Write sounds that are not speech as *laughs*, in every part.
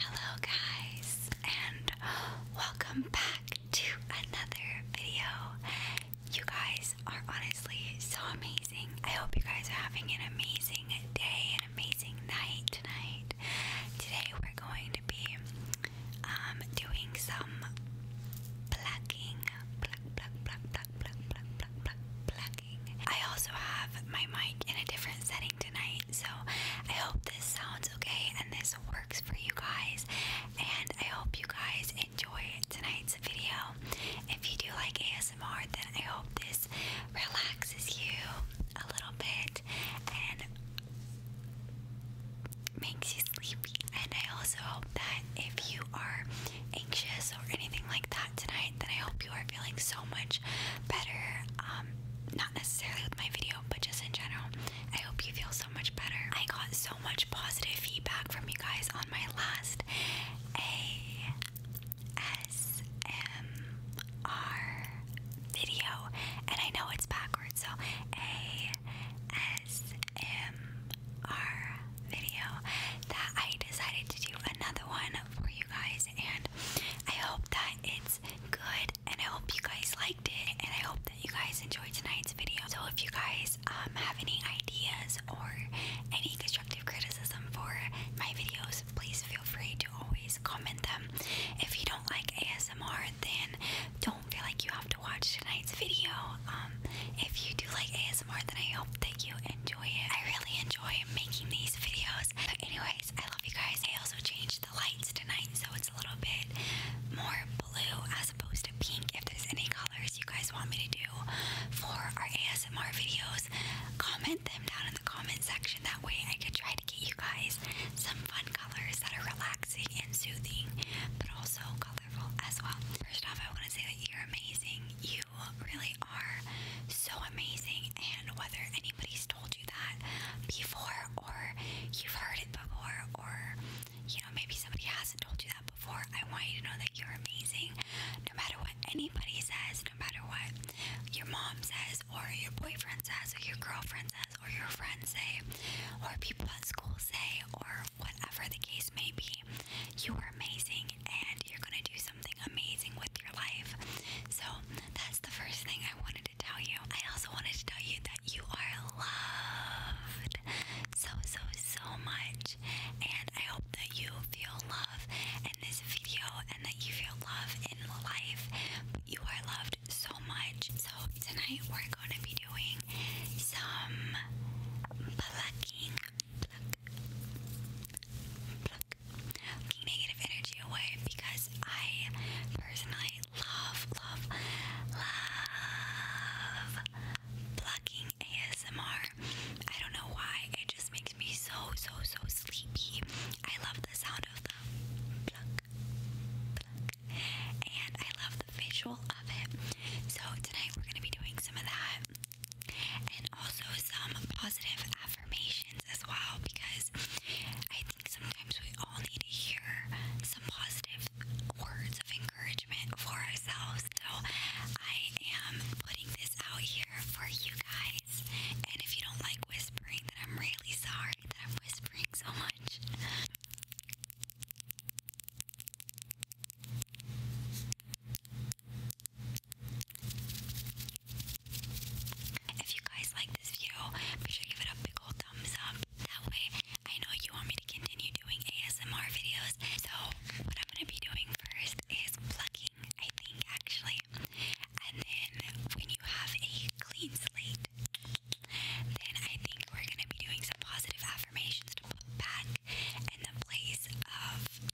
Hello, guys, and welcome back to another video. You guys are honestly so amazing. I hope you guys are having an amazing day, and amazing night tonight. Today, we're going to be um, doing some plucking, pluck, pluck, pluck, I also have my mic in a different setting tonight. So I hope this sounds okay and this works for you guys. And I hope you guys enjoy tonight's video. If you do like ASMR, then I hope this relaxes you a little bit and makes you sleepy. And I also hope that if you are anxious or anything like that tonight, then I hope you are feeling so much better. Um, not necessarily with my video, but just in general, I hope you feel so much better. I got so much positive feedback from you guys on my last ASMR video, and I know it's backwards, so ASMR video that I decided to do another one for you guys, and I hope that it's good and I hope you guys liked it, and I hope that you guys enjoyed tonight's video. So if you guys um, have any ideas or any constructive criticism for my videos, please feel free to always comment them. If you don't like ASMR, then don't feel like you have to watch tonight's video. Um, if you do like ASMR, then I hope that you enjoy it. I really enjoy making these videos. But anyway, I love you guys. I also changed the lights tonight, so it's a little bit more blue as opposed to pink. If there's any colors you guys want me to do for our ASMR videos, comment them down in the comment section. That way I could try to get you guys some fun colors that are relaxing and soothing, but also colorful as well. First off, I want to say that you're amazing. You really are so amazing, and whether anybody's told you told you that before, or you've heard it before, or you know, maybe somebody hasn't told you that before. I want you to know that you're amazing. No matter what anybody says, no matter what your mom says, or your boyfriend says, or your girlfriend says, or your friends say, or people at school say, or whatever the case may be, you are amazing and you're going to do something amazing with your life. So that's the first thing I wanted to tell you. I also wanted to tell you that you are loved so, so, so much. And I hope that you feel love in this video and that you feel love in life. You are loved so much. So, tonight we're going to be doing some plucking negative energy away because I personally love, love, love plucking ASMR. I don't know why, it just makes me so, so, so sleepy. I love the sound of the pluck, and I love the visual of it. So, tonight we're going to be doing some of that and also some positive affirmations as well because I Sometimes we all need to hear some positive words of encouragement for ourselves. So I am putting this out here for you guys. And if you don't like whispering, that I'm really sorry that I'm whispering so much. If you guys like this video, be sure give it a big old thumbs up. That way, I know you want me to continue doing ASMR videos. So, what I'm gonna be doing first is plucking, I think, actually. And then, when you have a clean slate, then I think we're gonna be doing some positive affirmations to put back in the place of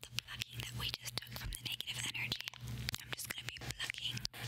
the plucking that we just took from the negative energy. I'm just gonna be plucking Look,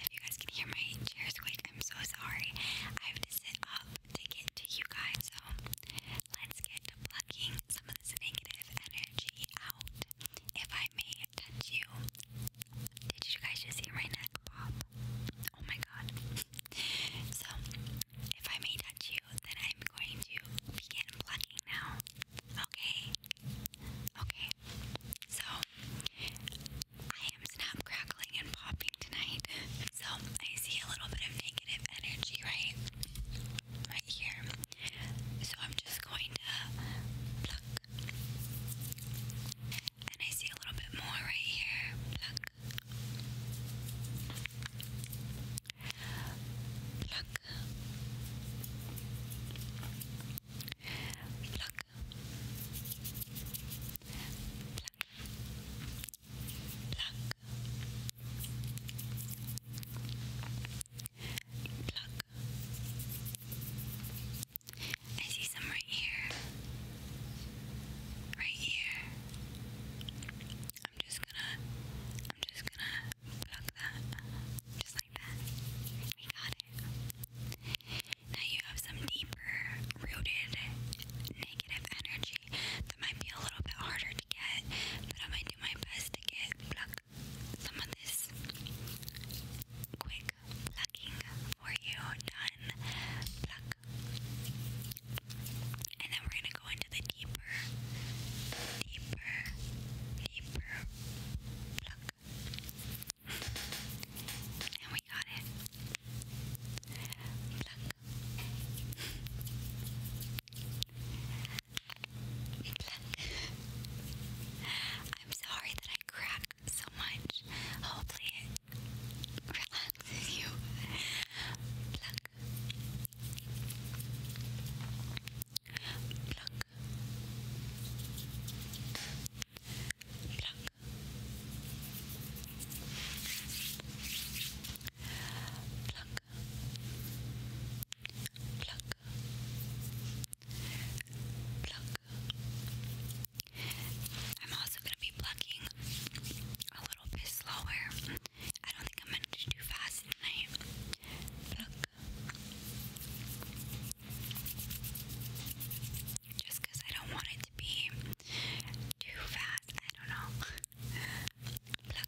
if you guys can hear my chair squeak, I'm so sorry. I have to sit up to get to you guys. So let's get to some of this negative energy out. If I may touch you, did you guys just hear my pop? Oh my god. So, if I may touch you, then I'm going to begin plucking now. Okay. Okay. So I am snap crackling and popping tonight. So I see a little bit of negative energy right right here. So I'm just going to pluck. And I see a little bit more right here. Pluck. Pluck. Pluck. Pluck. Pluck. Pluck. I see some right here. Right here. I'm just gonna I'm just gonna pluck that like We got it. Now you have some deeper rooted negative energy that might be a little bit harder to get, but I'm going to do my best to get some of this quick plucking for you done. Pluck. And then we're going to go into the deeper, deeper, deeper pluck. And we got it. Pluck. Pluck. *laughs* I'm sorry that I crack so much. Hopefully it relaxes you. Pluck. Pluck pluck, pluck, pluck, pluck. I'm also going to be plucking a little bit slower. I don't think I'm going to do too fast tonight. Just I don't want it to be too fat. I don't know. Pluck.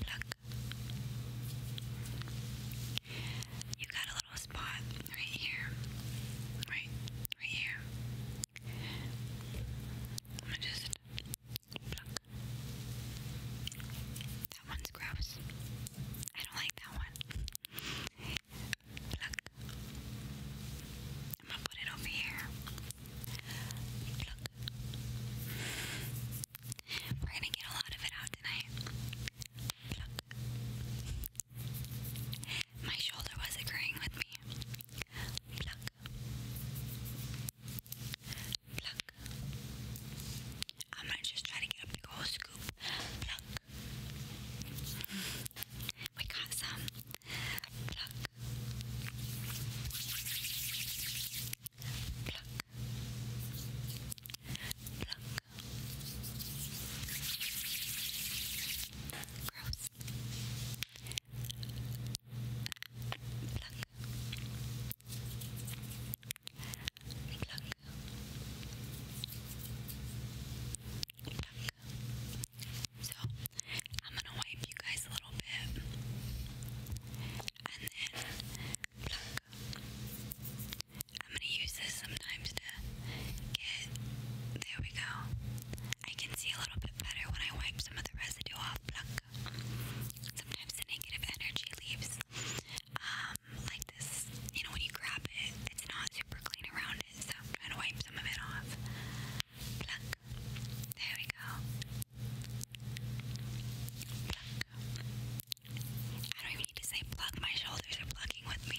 Pluck. You got a little spot right here. Right. Right here. I'm just pluck. That one's gross. I don't like that one. Look. I'm gonna put it over here. Look. We're gonna get a lot of it out tonight. Look. My shoulder was agreeing with me. Look pluck. I'm gonna just try to get a big old scoop. Pluck. We got some. Pluck. Pluck. Pluck. Gross. Pluck. Pluck. So, I'm gonna wipe you guys a little bit. And then, I'm gonna use this sometimes to get. There we go. I can see a little bit better when I wipe some of the residue off sometimes the negative energy leaves um, like this. You know, when you grab it, it's not super clean around it, so trying to wipe some of it off. Pluck. There we go. I don't even need to say pluck, my shoulders are plucking with me.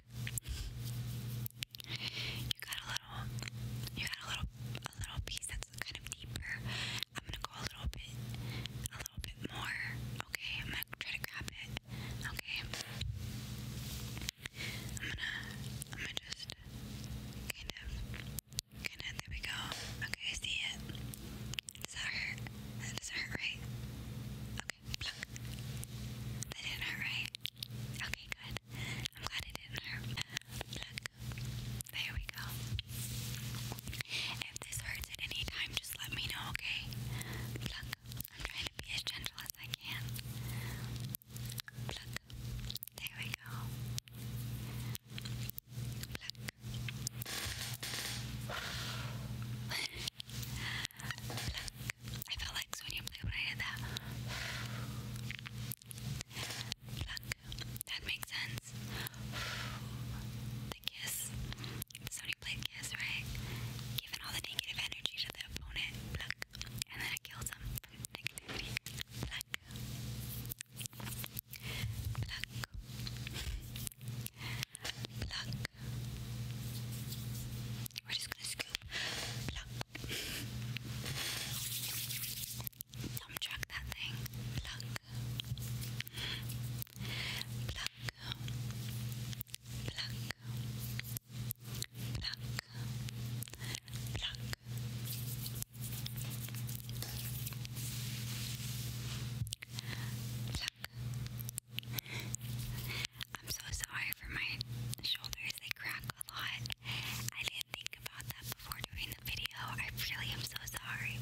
You got a little, you got a little, a little piece that's kind of deeper. I'm gonna go a little bit, a little bit more. Okay, I'm gonna try to grab it. Okay, I'm gonna, I'm gonna just kind of, kind of. There we go. Okay, I see it. Does that hurt? That doesn't hurt, right? Okay, pluck. didn't hurt, right? Okay, good. I'm glad it didn't hurt. Pluck. There we go. If this hurts at any time, just let me know, okay? Pluck. I'm trying to be as gentle as I can. Pluck. There we go. Pluck. Pluck. I felt like Sonia Blade when I did that. That makes sense. The kiss. Sonya Blade kiss, right? Giving all the negative energy to the opponent. And then it kills them negativity. We're just gonna scoop, pluck, thumb track that thing, pluck, pluck, pluck, pluck, pluck. Pluck, I'm so sorry for my shoulders, they crack a lot. I didn't think about that before doing the video. I really am so sorry.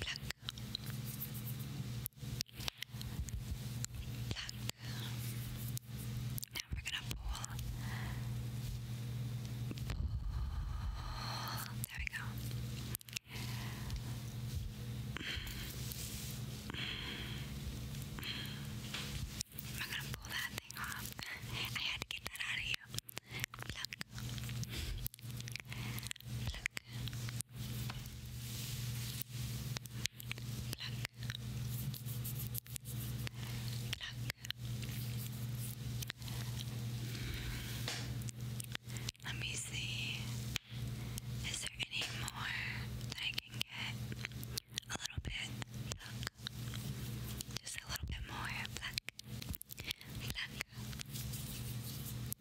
Pluck. Now we're gonna Pull. There we go. I'm gonna pull that thing off. I had to get that out of you. Pluck. Pluck. Pluck. Pluck. Let me see. Is there any more that I can get? A little bit. Pluck. Just a little bit more. Pluck. Pluck.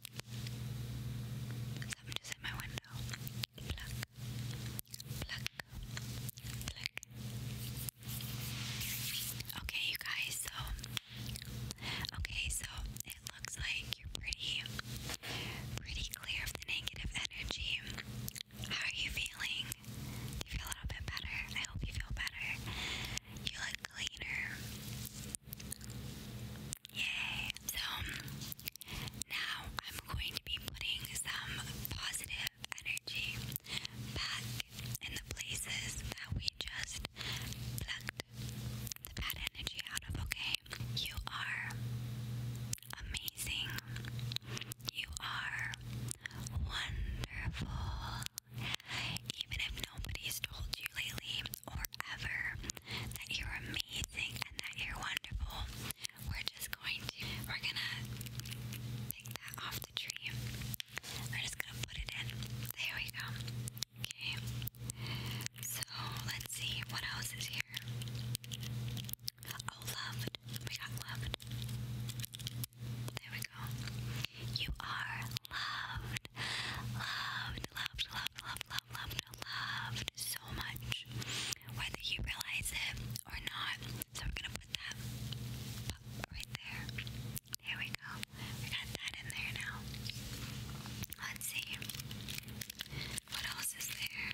Someone just hit my window. Pluck, pluck, pluck. Okay, you guys, so. Okay, so it looks like you're pretty, pretty clear of the negative energy. How are you feeling? you feel a little bit better? I hope you feel better. You look cleaner. Yay! So now I'm going to be putting some positive energy back in the places that we just plucked the bad energy out of, okay? You are amazing. You are wonderful. Even if nobody's told you lately or ever that you're amazing and that you're wonderful, we're just going to, we're gonna take that off the tree. We're just gonna put it in. There we go. Okay. So let's see what else is here. Oh, loved. We got loved. There we go. You are loved. Loved loved, loved, loved, loved, loved, loved, so much. Whether you realize it or not. So we're gonna put that right there. There we go. We got that in there now. Let's see. What else is there?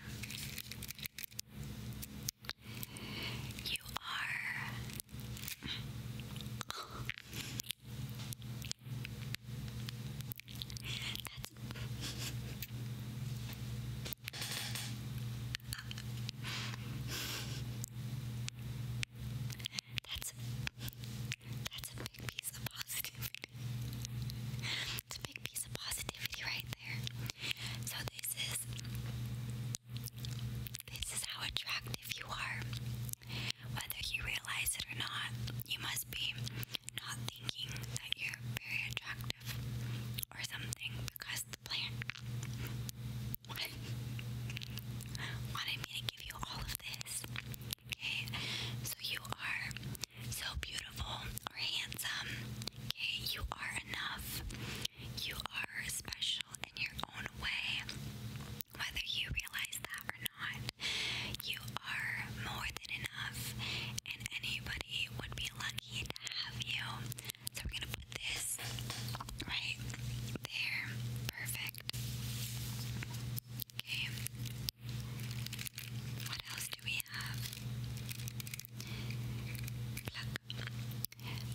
You are that's That's a big piece of positivity. It's a big piece of positivity right there. So this is this is how attractive you are. Whether you realize it or not, you must be not thinking that you're very attractive or something because the plant wanted me to give you all of this. Okay, so you are so beautiful or handsome. Okay, you are enough. You are special in your own way. Whether you realize that or not, you are more than enough, and anybody would be lucky to have you. So, we're gonna put this right there. Perfect. Okay. What else do we have? Pluck.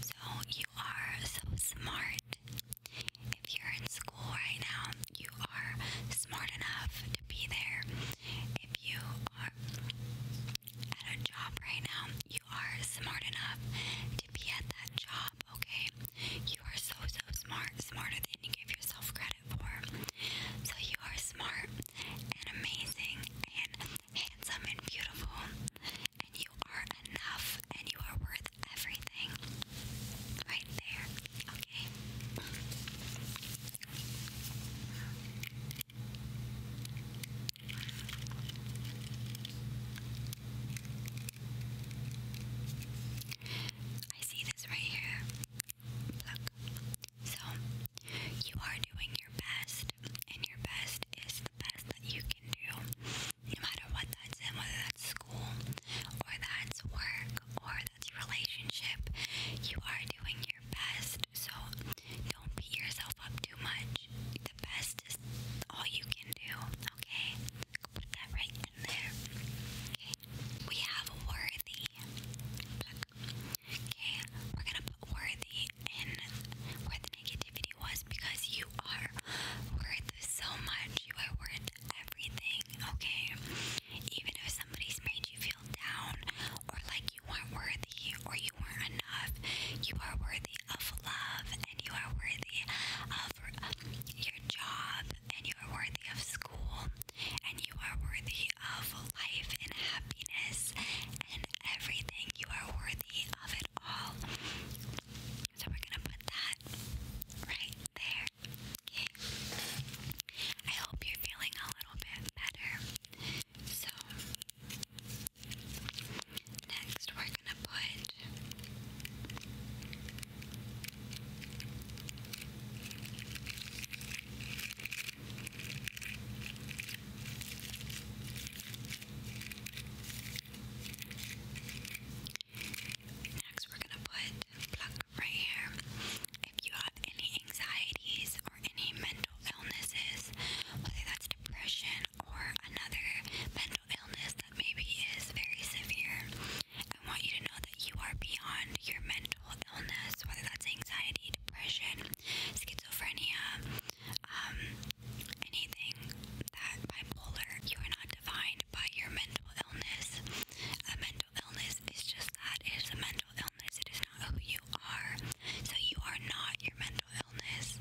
So, you are so smart. If you're in school right now, you are smart enough to be there. If you are at a job right now, you are smart enough to be at that job, okay? You are so, so smart, smarter than you give yourself credit for. So you are smart and amazing and handsome and beautiful, and you are enough and you are worth everything. Right there. Okay. I see this right here. Look. So, you are doing your best, and your best is the best that you can do. No matter what that's in, whether that's school, or that's work, or that's relationship, you are doing your best. So don't beat yourself up too much. The best is all you can do, okay? Put that right in there. Okay. We have worthy. Okay, we're gonna put worthy in where the negativity was because you are worth so much. You are worth everything, okay? Even if somebody's made you feel down or like you weren't worthy or you weren't enough, you are worthy of love and you are worthy of your job and you are worthy of school and you are worthy of life and happiness and everything. You are worthy of it all. So we're going to put that right there. I hope you're feeling a little bit better. So, next we're going to put Next, we're gonna put pluck right here. If you have any anxieties or any mental illnesses, whether that's depression or another mental illness that maybe is very severe, I want you to know that you are beyond your mental illness, whether that's anxiety, depression, schizophrenia, um, anything that bipolar, you are not defined by your mental illness. A mental illness is just that it is a mental illness, it is not who you are. So, you are not your mental illness.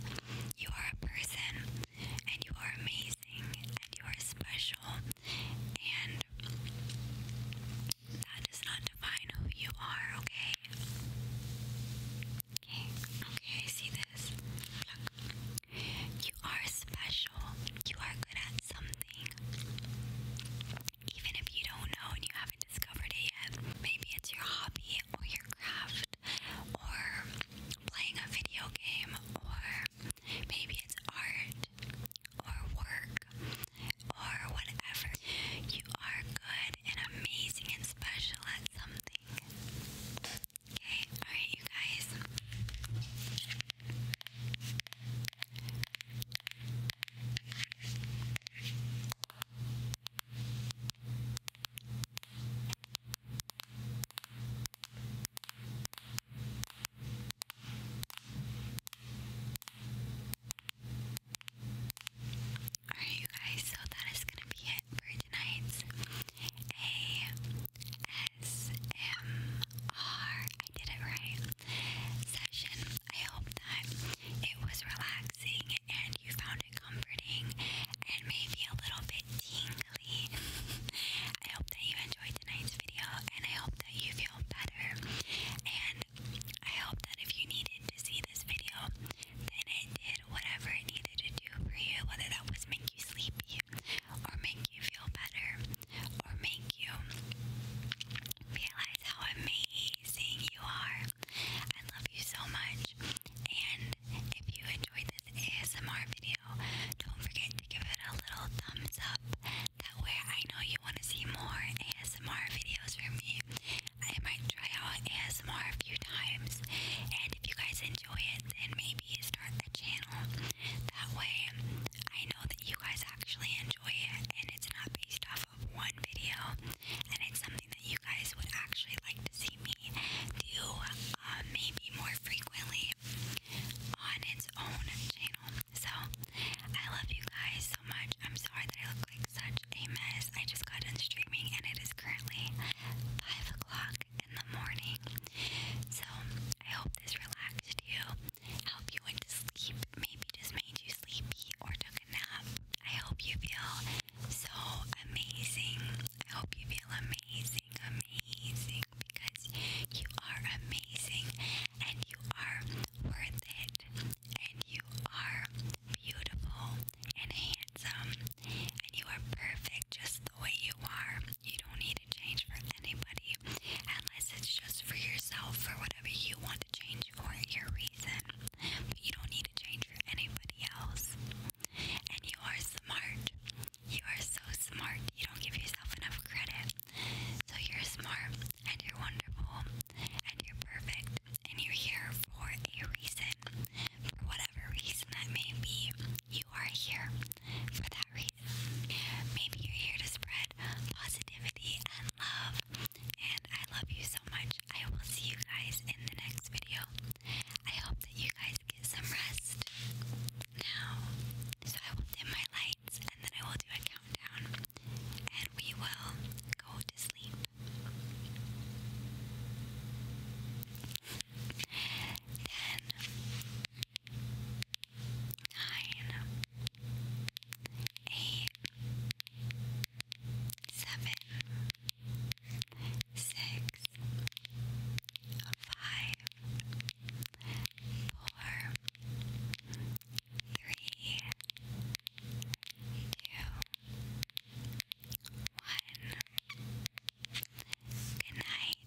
You are a person, and you are amazing, and you are special, and that does not define who you are, okay? Okay, okay, see this. You are special. You are good at something. Even if you don't know and you haven't discovered it yet, maybe it's your hobby or your craft or playing a video game or maybe it's art or work or whatever. You are good and amazing and special at something. Okay, alright, you guys. Alright, you guys, so that is going to be it for tonight's ASMR, I did it right, session. I hope that it was relaxing and you found it comforting and maybe a little bit tingly. *laughs* I hope that you enjoyed tonight's video and I hope that you feel better. And I hope that if you needed to see this video, then I did whatever I needed to do for you, whether that was make you sleepy or make you feel better or make you realize how amazing you are. I love you so much. And if you enjoyed this ASMR video, don't forget to give it a little thumbs up. That way I know you want to see more ASMR videos from me. I might try out ASMR a few times. And if you guys enjoy it, then maybe start the channel that way, I know that you guys actually enjoy it and it's not based off of one video and it's something that you guys would actually like to see me do uh, maybe more frequently on its own channel. So, I love you guys so much. I'm sorry that I look like such a mess. I just got done streaming and it is currently 5 o'clock in the morning. So, I hope this relaxed you, helped you into sleep, maybe just made you sleepy or took a nap. I hope you feel so amazing. I hope you feel amazing, amazing, because you are amazing and you are worth it and you are beautiful and handsome and you are perfect just the way you are. You don't need to change for anybody unless it's just for yourself, for whatever you want to change for your reason. But you don't need to change for anybody else. And you are smart. You are so smart. You don't give yourself enough credit. So you're smart and you're wonderful and you're perfect and you're here for a reason. For whatever reason that may be, you are here for that reason. Maybe you're here to spread positivity and love. And I love you so much. I will see you guys in the next video. I hope that you guys get some rest now. So I will dim my lights and then I will do a countdown. And we will go to sleep. Ten, nine, eight, seven, six, five, four, three, two, one. Good night.